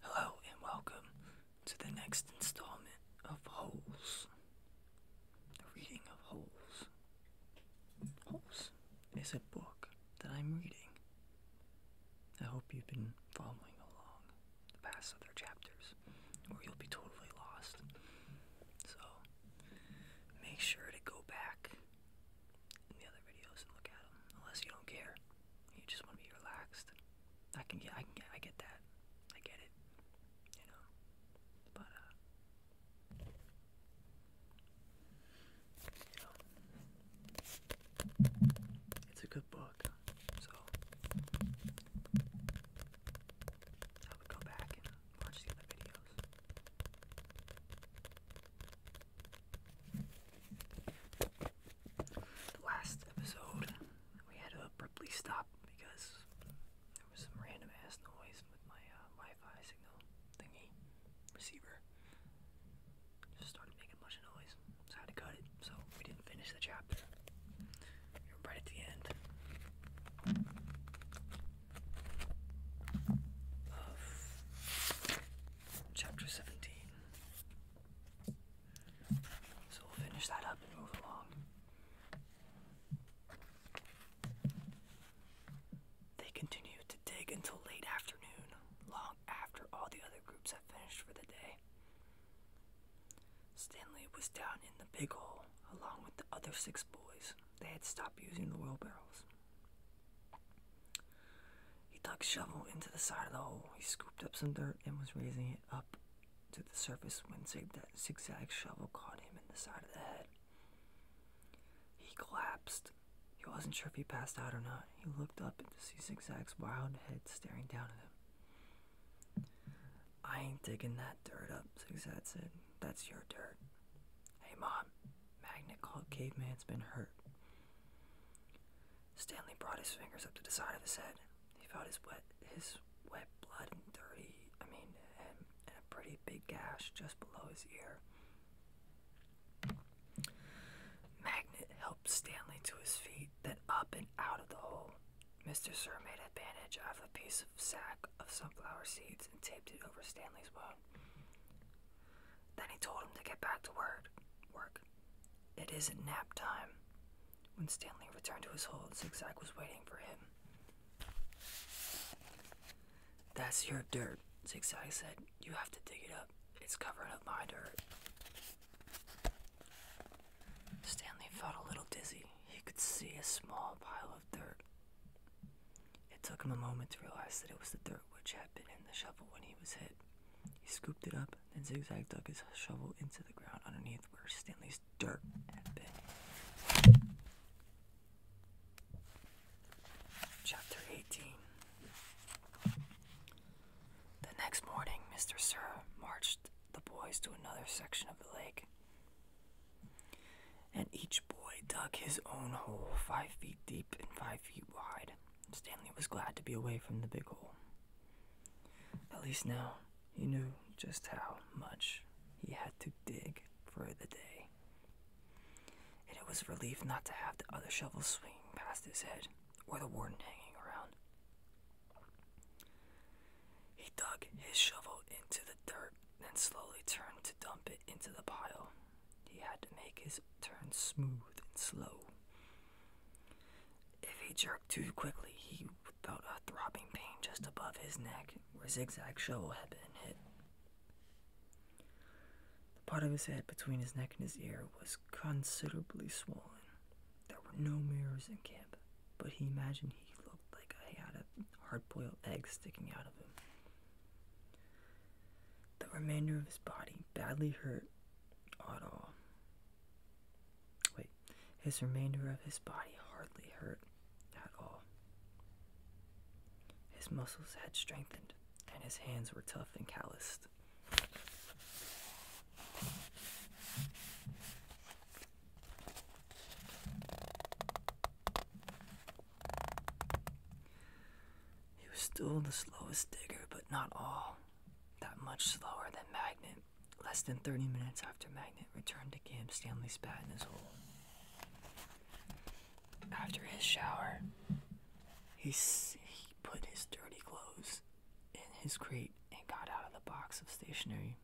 Hello and welcome to the next installment of Holes. The reading of Holes. Holes is a book that I'm reading. I hope you've been following along the past other chapters, or you'll be totally lost. So make sure to go back in the other videos and look at them, unless you don't care. You just want to be relaxed. I can get, I can get, I get that. I get it. You know, but uh, you know, it's a good book. So I would go back and watch the other videos. The last episode, we had to abruptly stop because there was some random ass noise with my uh, Wi Fi signal thingy receiver. Just started making a noise, so had to cut it, so we didn't finish the chapter. right at the end of chapter 17. So we'll finish that up and move along. They continued to dig until late afternoon, long after all the other groups had finished for the day. Stanley was down in the big hole along with the other six boys. They had stopped using the wheelbarrows. He dug shovel into the side of the hole. He scooped up some dirt and was raising it up to the surface when zig that zigzag shovel caught him in the side of the head. He collapsed. He wasn't sure if he passed out or not. He looked up to see Zigzag's wild head staring down at him. I ain't digging that dirt up, Zigzag said. That's your dirt. Hey, Mom, Magnet called Caveman's been hurt. Stanley brought his fingers up to the side of his head. He felt his wet, his wet blood and dirty, I mean, and, a pretty big gash just below his ear. Magnet helped Stanley to his feet, then up and out of the hole. Mr. Sir made a bandage out of a piece of sack of sunflower seeds and taped it over Stanley's wound. Then he told him to get back to work. Work. It isn't nap time. When Stanley returned to his hole, Zigzag was waiting for him. That's your dirt, Zigzag said. You have to dig it up. It's covering up my dirt. Stanley felt a little dizzy. He could see a small pile of dirt. It took him a moment to realize that it was the dirt which had been in the shovel when he was hit. He scooped it up, and zigzagged, dug his shovel into the ground underneath where Stanley's dirt had been. Chapter 18 The next morning, Mr. Sir marched the boys to another section of the lake. And each boy dug his own hole five feet deep and five feet wide. Stanley was glad to be away from the big hole. At least now he knew just how much he had to dig for the day. And it was a relief not to have the other shovels swinging past his head or the warden hanging around. He dug his shovel into the dirt, then slowly turned to dump it into the pile. He had to make his turn smooth and slow, if he jerked too quickly, he felt a throbbing pain just above his neck where Zigzag Shovel had been hit. The part of his head between his neck and his ear was considerably swollen. There were no mirrors in camp, but he imagined he looked like he had a hard boiled egg sticking out of him. The remainder of his body, badly hurt, at all. Wait, his remainder of his body hardly hurt at all. His muscles had strengthened, and his hands were tough and calloused. He was still the slowest digger, but not all that much slower than Magnet. Less than 30 minutes after Magnet returned to camp, Stanley spat in his hole. After his shower, he, he put his dirty clothes in his crate and got out of the box of stationery.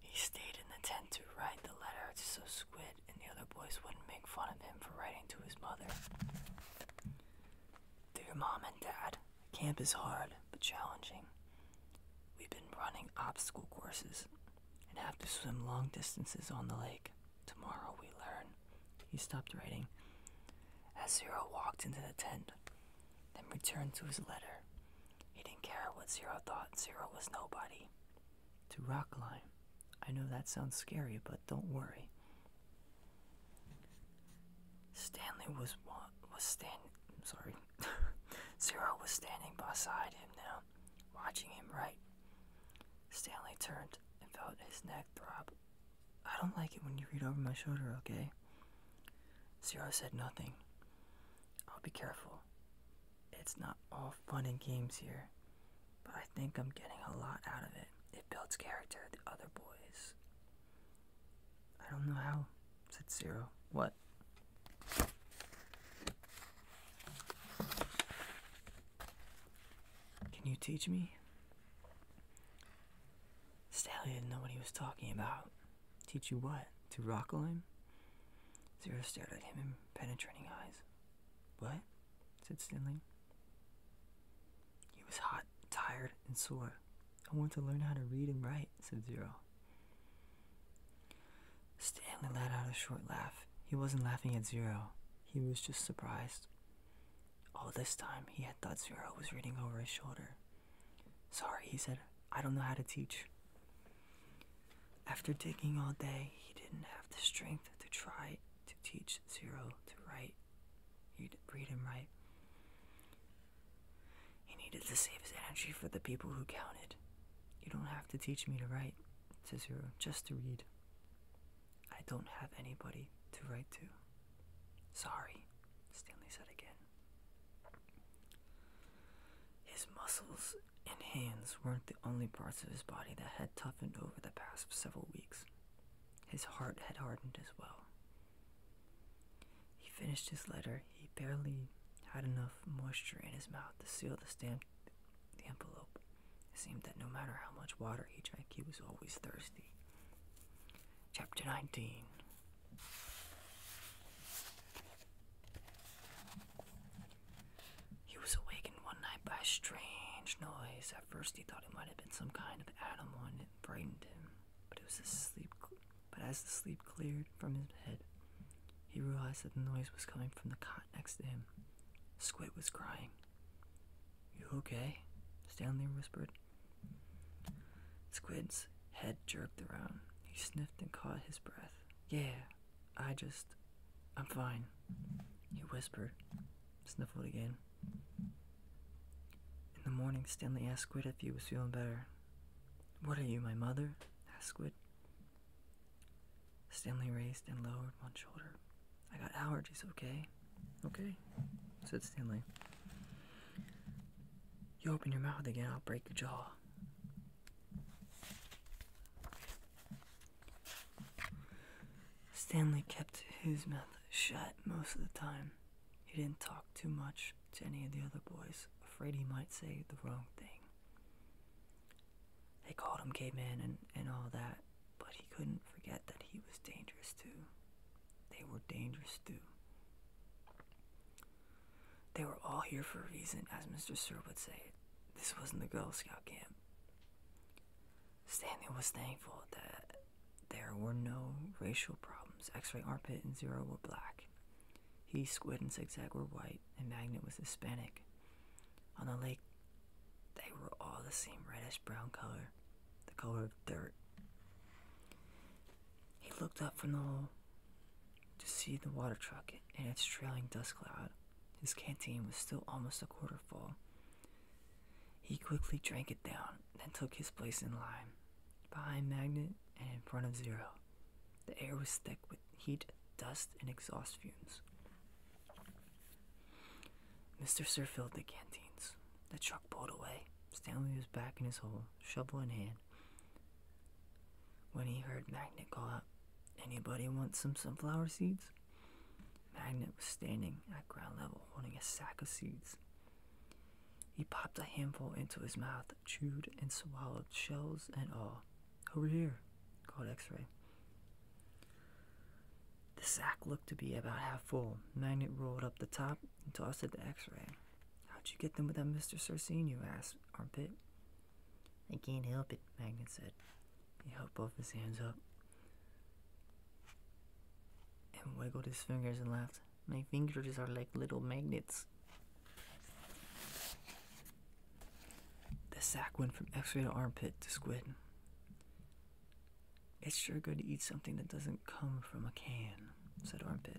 He stayed in the tent to write the letter so Squid and the other boys wouldn't make fun of him for writing to his mother. Through mom and dad, camp is hard but challenging. We've been running obstacle courses and have to swim long distances on the lake. Tomorrow we learn. He stopped writing as Zero walked into the tent, then returned to his letter. He didn't care what Zero thought, Zero was nobody. To Rockline. I know that sounds scary, but don't worry. Stanley was was standing. Sorry, Zero was standing beside him now, watching him write. Stanley turned and felt his neck throb. I don't like it when you read over my shoulder, okay? Zero said nothing. I'll be careful. It's not all fun and games here but I think I'm getting a lot out of it. It builds character, the other boys. I don't know how, said Zero. What? Can you teach me? Stanley didn't know what he was talking about. Teach you what? To rock climb? Zero stared at him in penetrating eyes. What? said Stanley. He was hot, tired, and sore. I want to learn how to read and write, said Zero. Stanley let out a short laugh. He wasn't laughing at Zero. He was just surprised. All this time, he had thought Zero was reading over his shoulder. Sorry, he said. I don't know how to teach. After digging all day, he didn't have the strength to try to teach Zero to write, He'd read and write. He needed to save his energy for the people who counted. You don't have to teach me to write, to Zero, just to read. I don't have anybody to write to. Sorry, Stanley said again. His muscles and hands weren't the only parts of his body that had toughened over the past several weeks. His heart had hardened as well. He finished his letter. He barely had enough moisture in his mouth to seal the stamp the envelope. It seemed that no matter how much water he drank, he was always thirsty. Chapter 19 he was awakened one night by a strange noise. At first, he thought it might have been some kind of animal, and it frightened him. But it was his But as the sleep cleared from his head, he realized that the noise was coming from the cot next to him. Squid was crying. You okay? Stanley whispered. Squid's head jerked around. He sniffed and caught his breath. Yeah, I just. I'm fine, he whispered, sniffled again. In the morning, Stanley asked Squid if he was feeling better. What are you, my mother? asked Squid. Stanley raised and lowered one shoulder. I got allergies, okay? Okay, said Stanley. You open your mouth again, I'll break your jaw. Stanley kept his mouth shut most of the time. He didn't talk too much to any of the other boys, afraid he might say the wrong thing. They called him caveman and, and all that, but he couldn't forget that he was dangerous too. They were dangerous too. They were all here for a reason, as Mr. Sir would say. This wasn't the Girl Scout camp. Stanley was thankful that there were no racial problems. X-ray armpit and zero were black. He, Squid, and Zigzag were white, and Magnet was Hispanic. On the lake, they were all the same reddish-brown color, the color of dirt. He looked up from the hole to see the water truck and its trailing dust cloud. His canteen was still almost a quarter full, he quickly drank it down, then took his place in line, behind Magnet and in front of Zero. The air was thick with heat, dust, and exhaust fumes. Mr. Sir filled the canteens. The truck pulled away. Stanley was back in his hole, shovel in hand, when he heard Magnet call out, Anybody want some sunflower seeds? Magnet was standing at ground level holding a sack of seeds. He popped a handful into his mouth, chewed and swallowed shells and all. Over here, called X ray. The sack looked to be about half full. Magnet rolled up the top and tossed it to X ray. How'd you get them without Mr. Cersine? You asked, Armpit. I can't help it, Magnet said. He held both his hands up and wiggled his fingers and laughed. My fingers are like little magnets. The sack went from x ray to armpit to squid. It's sure good to eat something that doesn't come from a can, said Armpit.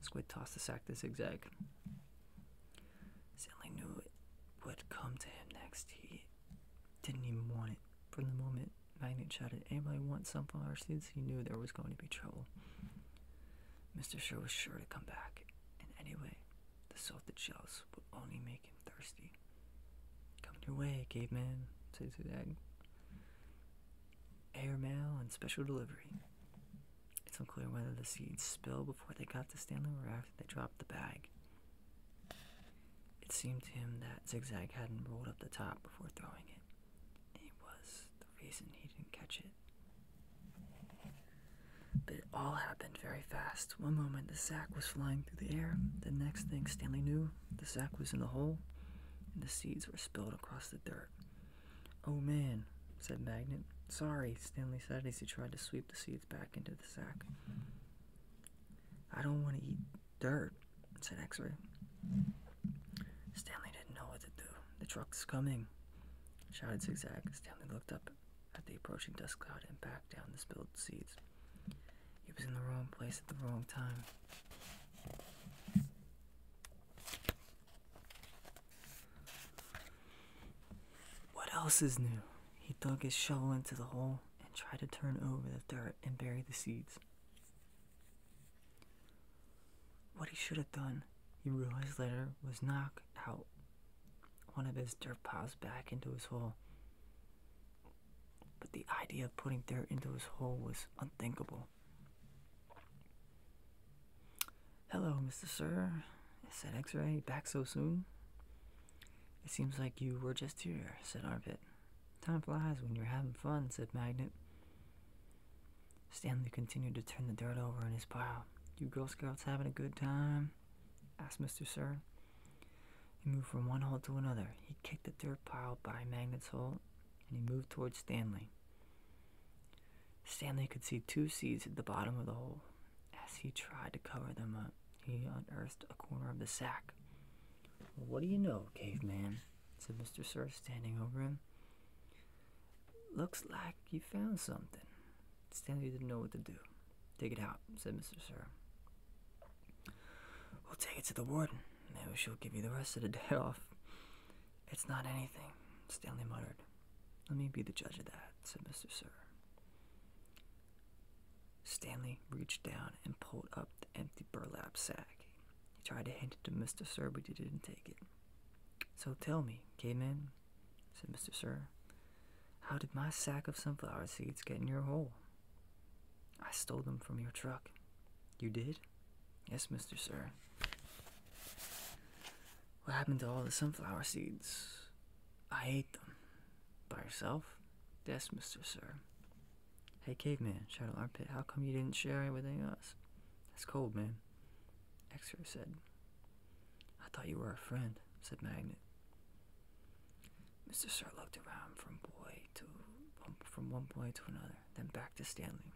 Squid tossed the sack to zigzag. Stanley knew it would come to him next. He didn't even want it from the moment Magnet shouted, anybody want some flower seeds?" students? He knew there was going to be trouble. Mr. Sure was sure to come back, and anyway, the salted shells would only make him thirsty. Come your way, caveman, said Sudag. Air mail and special delivery. It's unclear whether the seeds spilled before they got to Stanley or after they dropped the bag. It seemed to him that Zigzag hadn't rolled up the top before throwing it. It was the reason he didn't catch it. But it all happened very fast. One moment the sack was flying through the air. The next thing Stanley knew, the sack was in the hole, and the seeds were spilled across the dirt. Oh man, said Magnet. Sorry, Stanley said as he tried to sweep the seeds back into the sack. I don't want to eat dirt, said X Ray. Stanley didn't know what to do. The truck's coming, shouted Zigzag. Stanley looked up at the approaching dust cloud and back down the spilled seeds. He was in the wrong place at the wrong time. What else is new? He dug his shovel into the hole and tried to turn over the dirt and bury the seeds. What he should have done, he realized later, was knock out one of his dirt piles back into his hole. But the idea of putting dirt into his hole was unthinkable. Hello, Mr. Sir, said X Ray, back so soon? It seems like you were just here, said Arpit. Time flies when you're having fun, said Magnet. Stanley continued to turn the dirt over in his pile. You Girl Scouts having a good time? asked Mr. Sir. He moved from one hole to another. He kicked the dirt pile by Magnet's hole, and he moved towards Stanley. Stanley could see two seeds at the bottom of the hole as he tried to cover them up. He unearthed a corner of the sack. what do you know, caveman? said Mr. Sir, standing over him. Looks like you found something. Stanley didn't know what to do. Take it out, said Mr. Sir. We'll take it to the warden. Maybe she'll give you the rest of the day off. It's not anything, Stanley muttered. Let me be the judge of that, said Mr. Sir. Stanley reached down and pulled up the empty burlap sack. He tried to hand it to Mr. Sir, but he didn't take it. So tell me, caveman, said Mr. Sir, how did my sack of sunflower seeds get in your hole? I stole them from your truck. You did? Yes, Mr. Sir. What happened to all the sunflower seeds? I hate them. By yourself? Yes, Mr. Sir. Hey, caveman, Shout Shadow Armpit, how come you didn't share anything with us? That's cold, man. Exer said. I thought you were a friend, said Magnet. Mr. Sir looked around from boy to from one boy to another, then back to Stanley.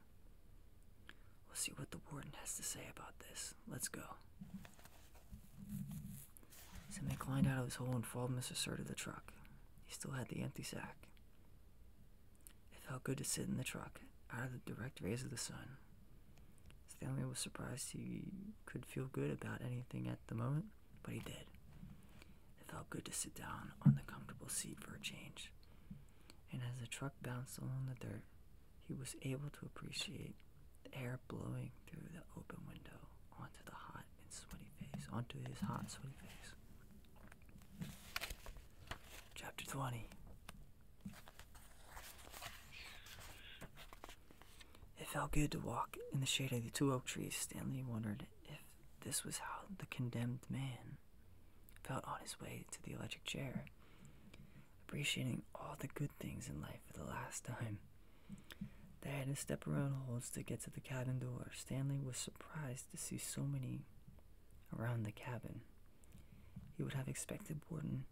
We'll see what the warden has to say about this. Let's go. Simic climbed out of his hole and followed Mr. Sir to the truck. He still had the empty sack. It felt good to sit in the truck, out of the direct rays of the sun. Stanley was surprised he could feel good about anything at the moment, but he did. It felt good to sit down on the comfortable seat for a change. And as the truck bounced along the dirt, he was able to appreciate the air blowing through the open window onto the hot and sweaty face, onto his hot, sweaty face. Chapter 20 It felt good to walk in the shade of the two oak trees. Stanley wondered if this was how the condemned man felt on his way to the electric chair, appreciating all the good things in life for the last time. They had to step around holes to get to the cabin door. Stanley was surprised to see so many around the cabin. He would have expected Warden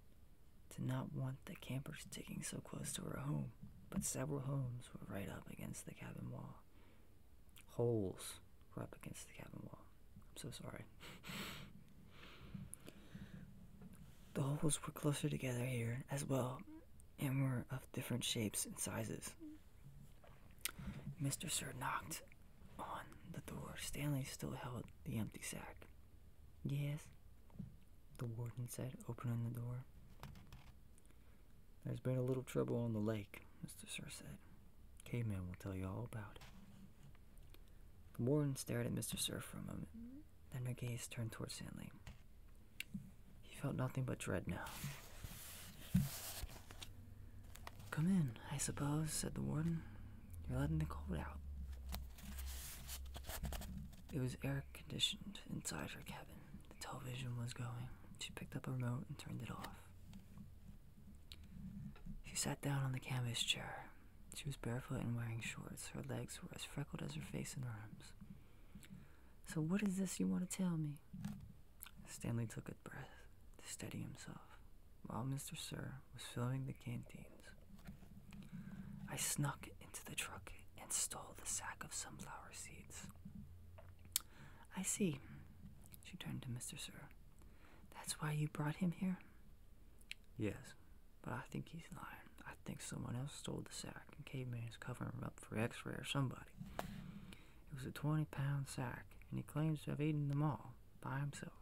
to not want the campers sticking so close to her home, but several homes were right up against the cabin wall. Holes were up against the cabin wall. I'm so sorry. the holes were closer together here as well and were of different shapes and sizes. Mr. Sir knocked on the door. Stanley still held the empty sack. Yes, the warden said, opening the door. There's been a little trouble on the lake, Mr. Sir said. Caveman will tell you all about it. The warden stared at Mr. Sir for a moment. Then her gaze turned toward Stanley. He felt nothing but dread now. Come in, I suppose, said the warden. You're letting the cold out. It was air conditioned inside her cabin. The television was going. She picked up a remote and turned it off. She sat down on the canvas chair. She was barefoot and wearing shorts. Her legs were as freckled as her face and arms. So, what is this you want to tell me? Stanley took a breath to steady himself while Mr. Sir was filling the canteens. I snuck into the truck and stole the sack of sunflower seeds. I see, she turned to Mr. Sir. That's why you brought him here? Yes, but I think he's lying. I think someone else stole the sack, and Caveman is covering him up for X-Ray or somebody. It was a 20-pound sack, and he claims to have eaten them all by himself.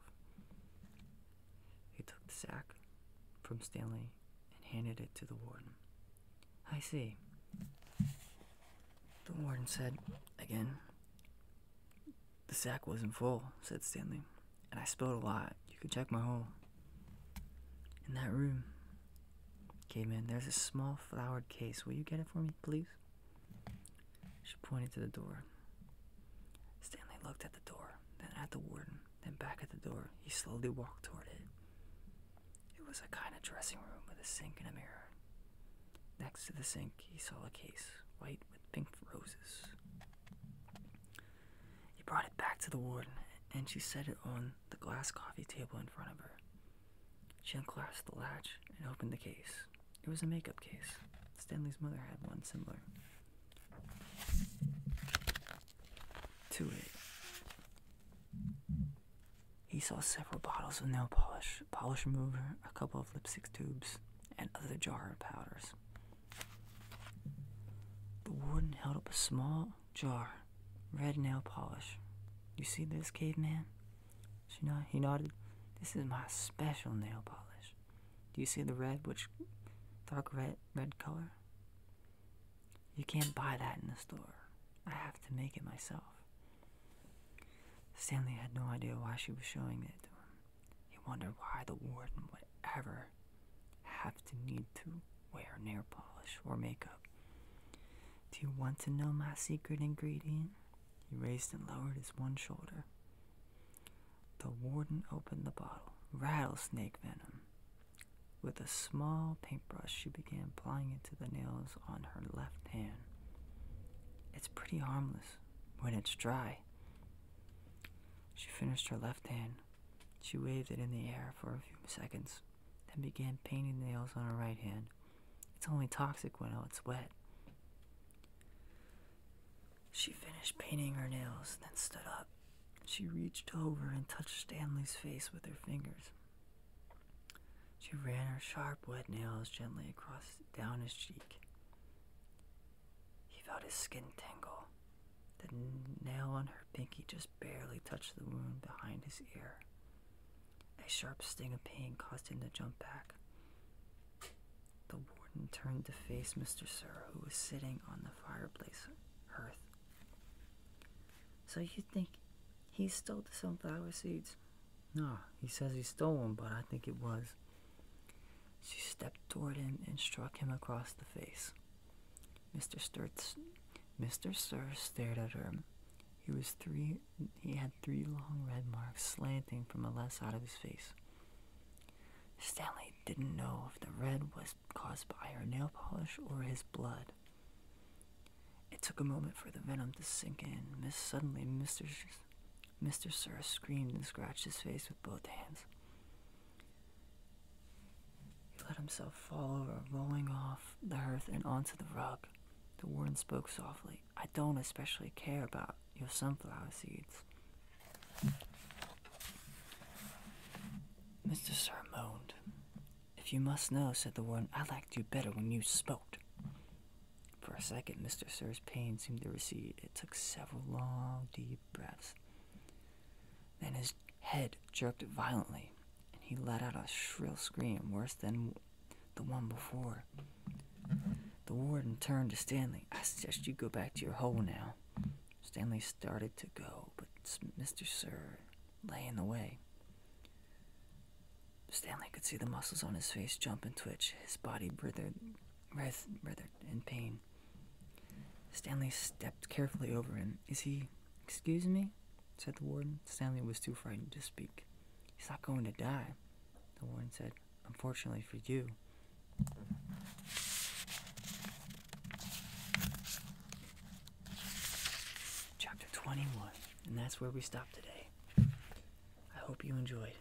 He took the sack from Stanley and handed it to the warden. I see. The warden said again. The sack wasn't full, said Stanley, and I spilled a lot. You can check my hole in that room. Okay, man, there's a small flowered case. Will you get it for me, please? She pointed to the door. Stanley looked at the door, then at the warden, then back at the door. He slowly walked toward it. It was a kind of dressing room with a sink and a mirror. Next to the sink, he saw a case, white with pink roses. He brought it back to the warden, and she set it on the glass coffee table in front of her. She unlatched the latch and opened the case. It was a makeup case. Stanley's mother had one similar to it. He saw several bottles of nail polish, polish remover, a couple of lipstick tubes, and other jar of powders. The warden held up a small jar, red nail polish. You see this, caveman? She nodded. He nodded. This is my special nail polish. Do you see the red, which dark red, red color? You can't buy that in the store. I have to make it myself. Stanley had no idea why she was showing it to him. He wondered why the warden would ever have to need to wear nail polish or makeup. Do you want to know my secret ingredient? He raised and lowered his one shoulder. The warden opened the bottle. Rattlesnake venom. With a small paintbrush, she began applying it to the nails on her left hand. It's pretty harmless when it's dry. She finished her left hand she waved it in the air for a few seconds, then began painting nails on her right hand. It's only toxic when oh, it's wet. She finished painting her nails, then stood up. She reached over and touched Stanley's face with her fingers. She ran her sharp, wet nails gently across down his cheek. He felt his skin tingle. The nail on her pinky just barely touched the wound behind his ear. A sharp sting of pain caused him to jump back. The warden turned to face Mr. Sir, who was sitting on the fireplace hearth. So you think he stole the sunflower seeds? No, he says he stole them, but I think it was. She stepped toward him and struck him across the face. Mr. Sturt's, Mr. Sir stared at her. He was three. He had three long red marks slanting from the left side of his face. Stanley didn't know if the red was caused by her nail polish or his blood. It took a moment for the venom to sink in. suddenly, Mr. Sh Mr. Sir screamed and scratched his face with both hands. He let himself fall over, rolling off the hearth and onto the rug. The warden spoke softly. I don't especially care about your sunflower seeds. Mr. Sir moaned. If you must know, said the warden, I liked you better when you smoked. For a second, Mr. Sir's pain seemed to recede. It took several long, deep breaths. Then his head jerked violently, and he let out a shrill scream worse than the one before. The warden turned to Stanley. I suggest you go back to your hole now. Stanley started to go, but Mr. Sir lay in the way. Stanley could see the muscles on his face jump and twitch. His body withered, writhed, in pain. Stanley stepped carefully over him. Is he. Excuse me? said the warden. Stanley was too frightened to speak. He's not going to die, the warden said. Unfortunately for you. Chapter 21, and that's where we stop today. I hope you enjoyed.